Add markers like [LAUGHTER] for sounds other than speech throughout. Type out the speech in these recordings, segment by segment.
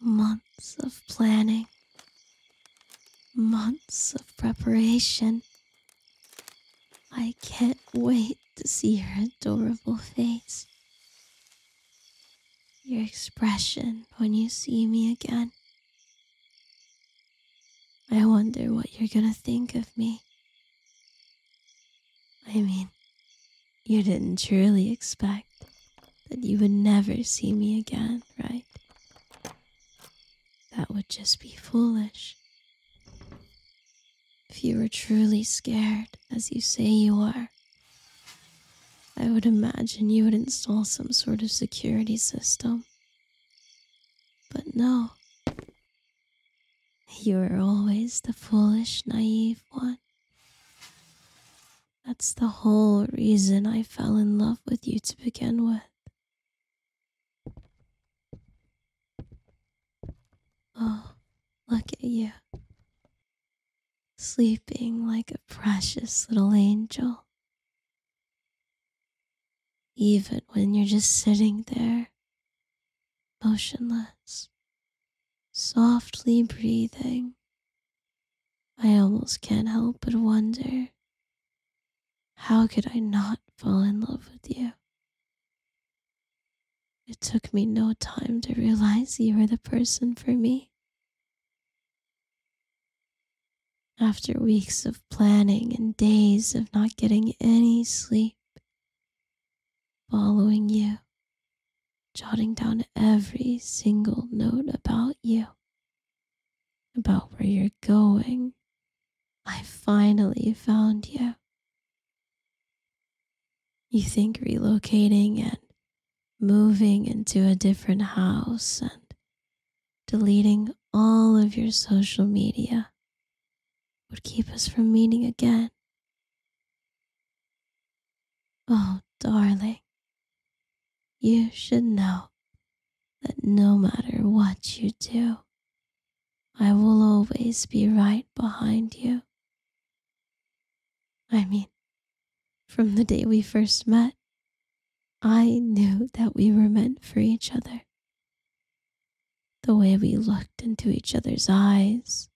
Months of planning, months of preparation. I can't wait to see your adorable face. Your expression when you see me again. I wonder what you're gonna think of me. I mean, you didn't truly expect that you would never see me again, right? That would just be foolish. If you were truly scared, as you say you are, I would imagine you would install some sort of security system. But no. You are always the foolish, naive one. That's the whole reason I fell in love with you to begin with. Oh, look at you. Sleeping like a precious little angel. Even when you're just sitting there, motionless, softly breathing. I almost can't help but wonder how could I not fall in love with you? It took me no time to realize you were the person for me. After weeks of planning and days of not getting any sleep, following you jotting down every single note about you, about where you're going. I finally found you. You think relocating and moving into a different house and deleting all of your social media would keep us from meeting again. Oh, darling, you should know that no matter what you do, I will always be right behind you. I mean, from the day we first met, I knew that we were meant for each other. The way we looked into each other's eyes,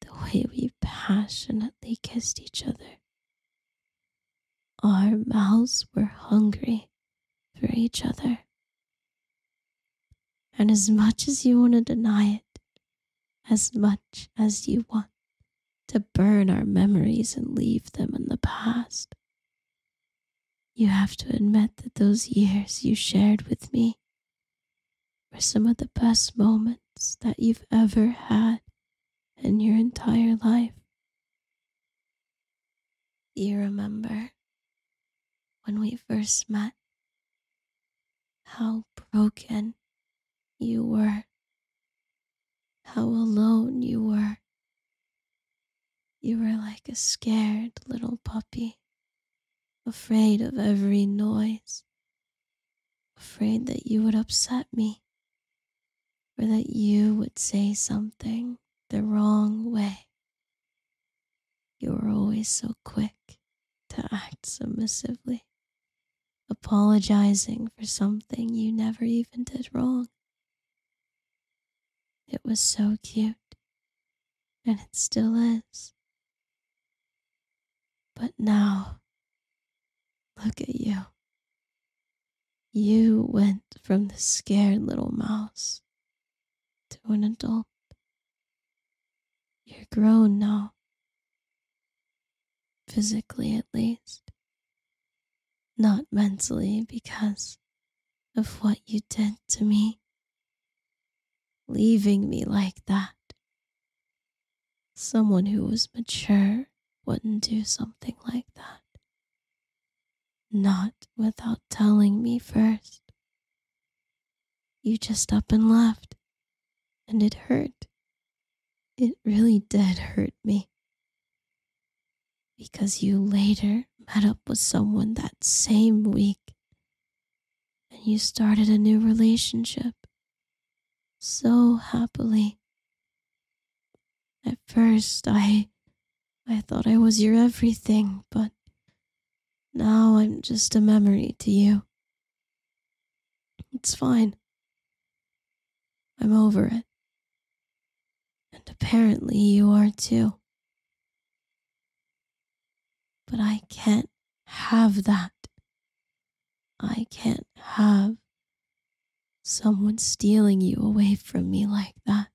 the way we passionately kissed each other. Our mouths were hungry for each other. And as much as you want to deny it, as much as you want to burn our memories and leave them in the past, you have to admit that those years you shared with me were some of the best moments that you've ever had in your entire life. You remember when we first met how broken you were, how alone you were. You were like a scared little puppy, afraid of every noise afraid that you would upset me or that you would say something the wrong way. You were always so quick to act submissively, apologizing for something you never even did wrong. It was so cute, and it still is but now, look at you. You went from the scared little mouse to an adult. You're grown now, physically at least, not mentally because of what you did to me, leaving me like that Someone who was mature wouldn't do something like that. Not without telling me first. You just up and left, and it hurt. It really did hurt me. Because you later met up with someone that same week, and you started a new relationship so happily. At first, I I thought I was your everything, but now I'm just a memory to you. It's fine. I'm over it. And apparently you are too. But I can't have that. I can't have someone stealing you away from me like that.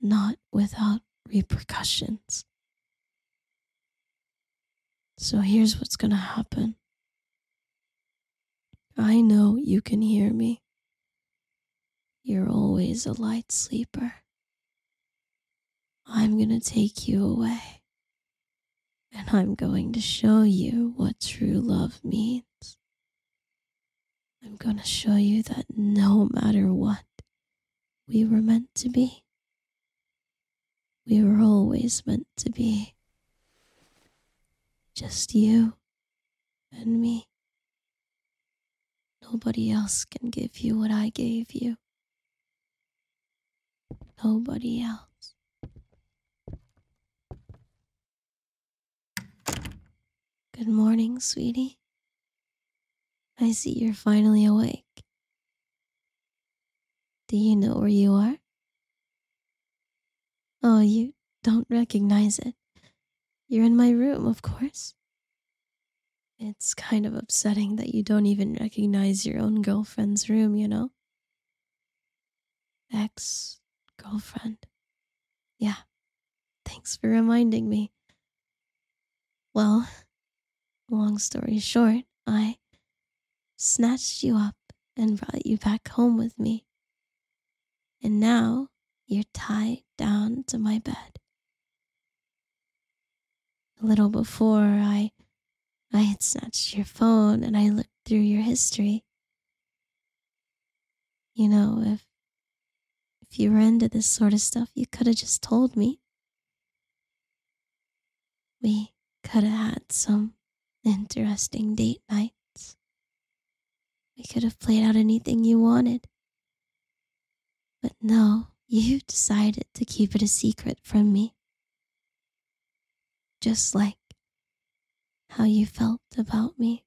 Not without repercussions. So here's what's gonna happen. I know you can hear me. You're always a light sleeper. I'm gonna take you away and I'm going to show you what true love means. I'm going to show you that no matter what, we were meant to be. We were always meant to be. Just you and me. Nobody else can give you what I gave you nobody else. Good morning, sweetie. I see you're finally awake. Do you know where you are? Oh, you don't recognize it. You're in my room, of course. It's kind of upsetting that you don't even recognize your own girl. Friend's room, you know? Ex girlfriend. Yeah. Thanks for reminding me. Well, long story short, I snatched you up and brought you back home with me. And now you're tied down to my bed. A little before I I had snatched your phone and I looked through your history. You know, if if you were into this sort of stuff, you could have just told me. We could have had some interesting date nights. We could have played out anything you wanted. But no, you decided to keep it a secret from me just like how you felt about me.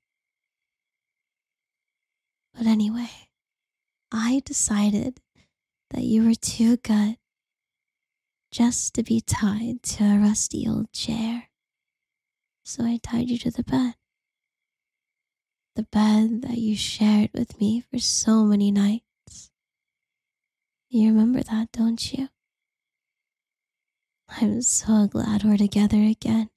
But anyway, I decided that you were too good just to be tied to a rusty old chair. So I tied you to the bed. The bed that you shared with me for so many nights. You remember that, don't you? I'm so glad we're together again.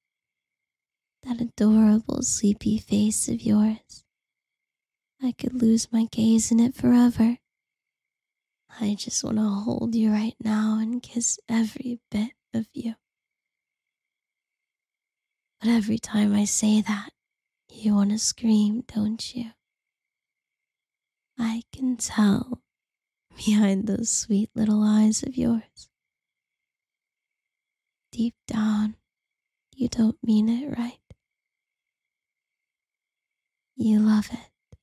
That adorable sleepy face of yours. I could lose my gaze in it forever. I just want to hold you right now and kiss every bit of you. But every time I say that, you want to scream, don't you? I can tell [LAUGHS] behind those sweet little eyes of yours. Deep down, you don't mean it right. You love it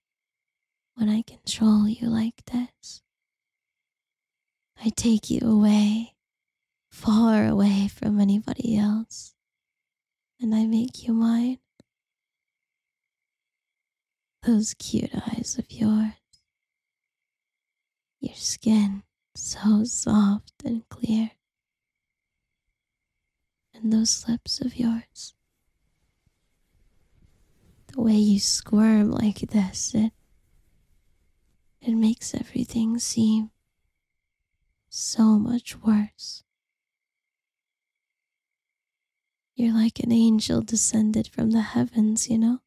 when I control you like this. I take you away, far away from anybody else, and I make you mine. Those cute eyes of yours, your skin so soft and clear, and those lips of yours. The way you squirm like this, it, it makes everything seem so much worse you're like an angel descended from the heavens, you know?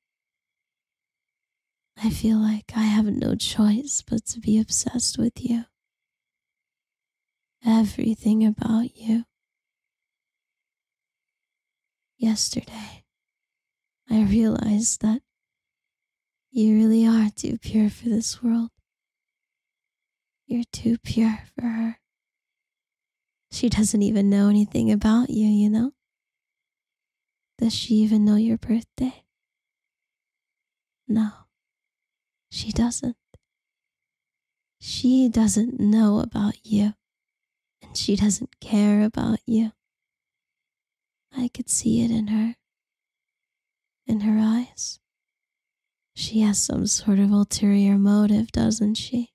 I feel like I have no choice but to be obsessed with you. Everything about you. Yesterday, I realized that you really are too pure for this world. You're too pure for her. She doesn't even know anything about you, you know? Does she even know your birthday? No, she doesn't. She doesn't know about you, and she doesn't care about you. I could see it in her in her eyes, she has some sort of ulterior motive, doesn't she?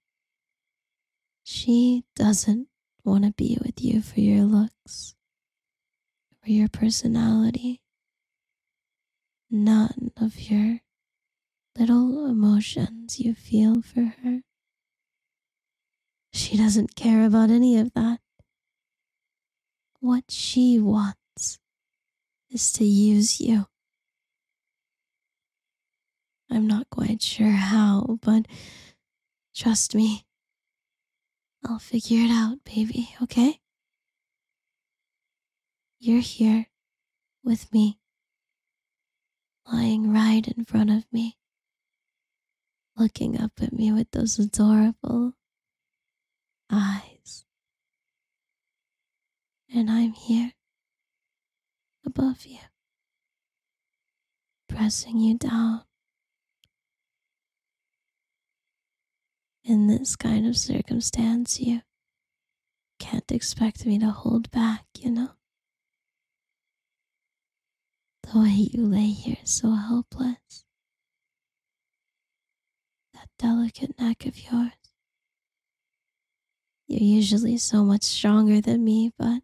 She doesn't want to be with you for your looks, for your personality, none of your little emotions you feel for her. She doesn't care about any of that. What she wants is to use you. I'm not quite sure how, but trust me. I'll figure it out, baby, okay? You're here with me, lying right in front of me, looking up at me with those adorable, eyes. And I'm here above you, pressing you down. In this kind of circumstance, you can't expect me to hold back, you know? The way you lay here so helpless that delicate neck of yours. You're usually so much stronger than me, but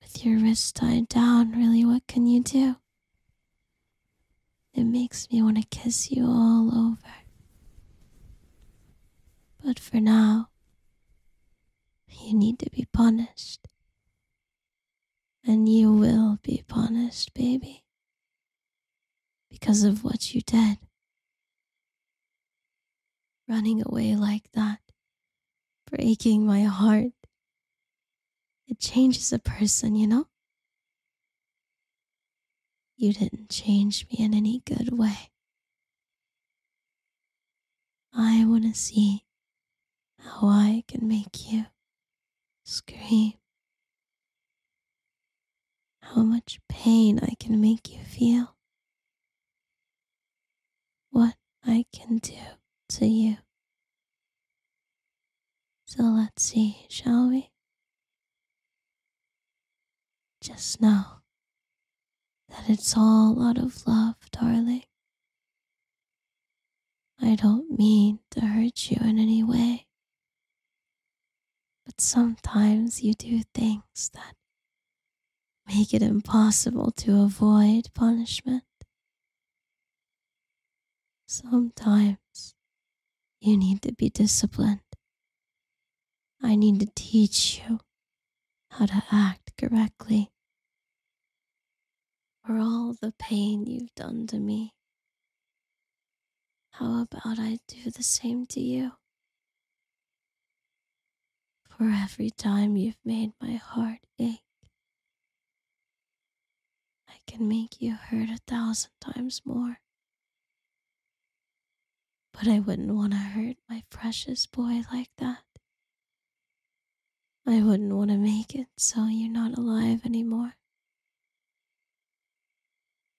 with your wrist tied down, really, what can you do? It makes me want to kiss you all over. But for now, you need to be punished. And you will be punished, baby because of what you did. Running away like that, breaking my heart. It changes a person, you know? You didn't change me in any good way. I want to see how I can make you scream how much pain I can make you feel, what I can do to you. So let's see, shall we? Just know that it's all out of love, darling. I don't mean to hurt you in any way. But sometimes you do things that make it impossible to avoid punishment. Sometimes you need to be disciplined. I need to teach you how to act correctly. For all the pain you've done to me, how about I do the same to you? For every time you've made my heart ache, I can make you hurt a thousand times more. But I wouldn't want to hurt my precious boy like that. I wouldn't want to make it so you're not alive anymore.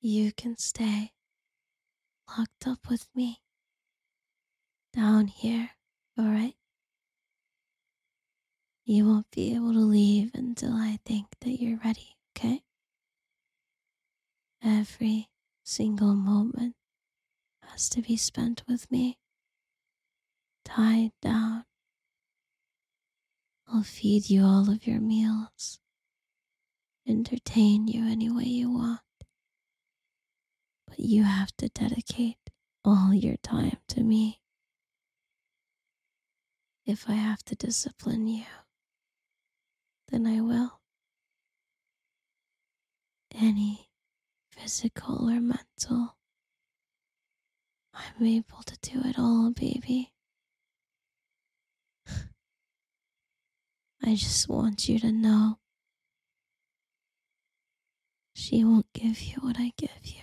You can stay locked up with me down here, alright? You won't be able to leave until I think that you're ready, okay? Every single moment has to be spent with me, tied down I'll feed you all of your meals, entertain you any way you want, but you have to dedicate all your time to me. If I have to discipline you, then I will. Any physical or mental I'm able to do it all, baby. I just want you to know she won't give you what I give you.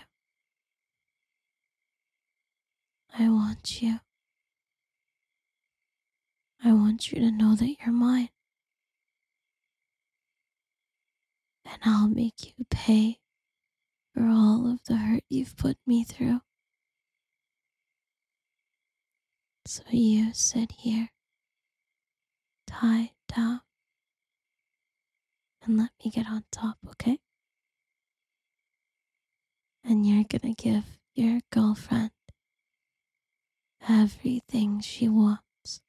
I want you. I want you to know that you're mine. And I'll make you pay for all of the hurt you've put me through. So you sit here, tied up, and let me get on top, okay? And you're gonna give your girlfriend everything she wants.